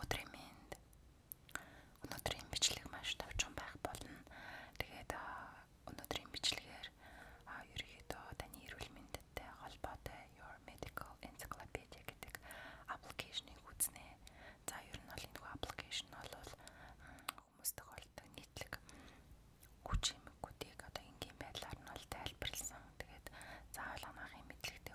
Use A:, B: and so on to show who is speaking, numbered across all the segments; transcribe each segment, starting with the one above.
A: Өдрийн минь өнөөдрийн бичлэг маш товчхон байх болно. Тэгээд өнөөдрийн бичлэгээр ерөнхийдөө таны эрүүл мэндтэй холбоотой Your Medical Encyclopedia гэдэг аппликейшнийг үзнэ. За ер нь бол энэ хүү аппликейшн бол хүмүүс тохиолдог нийтлэг хүч эмгүүдийг одоо энгийн байдлаар нь бол тайлбарлсан. Тэгээд заавал анаахын мэдлэгтэй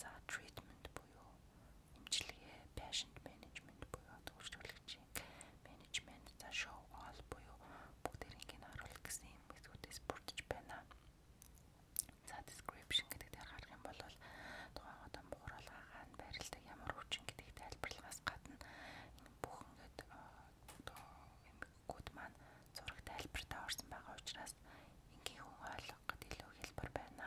A: За treatment буюу эмчилгээ, patient management буюу төвшлүүлэгчийн management, за show all буюу бүгдэрийг нь харуулах гэсэн юм зүйлээс бүрдэж байна. За description гэдэг дээр гарах юм бол тухайн одоо бууралгаа хаана байрлалтай ямар хүчин гэдэг тайлбарлагаас гадна бүх ингээд э, одоо эмгэгүүд маань зураг тайлбартаа орсон байгаа учраас энгийн хүн ойлгоход илүү хэлбэр байна.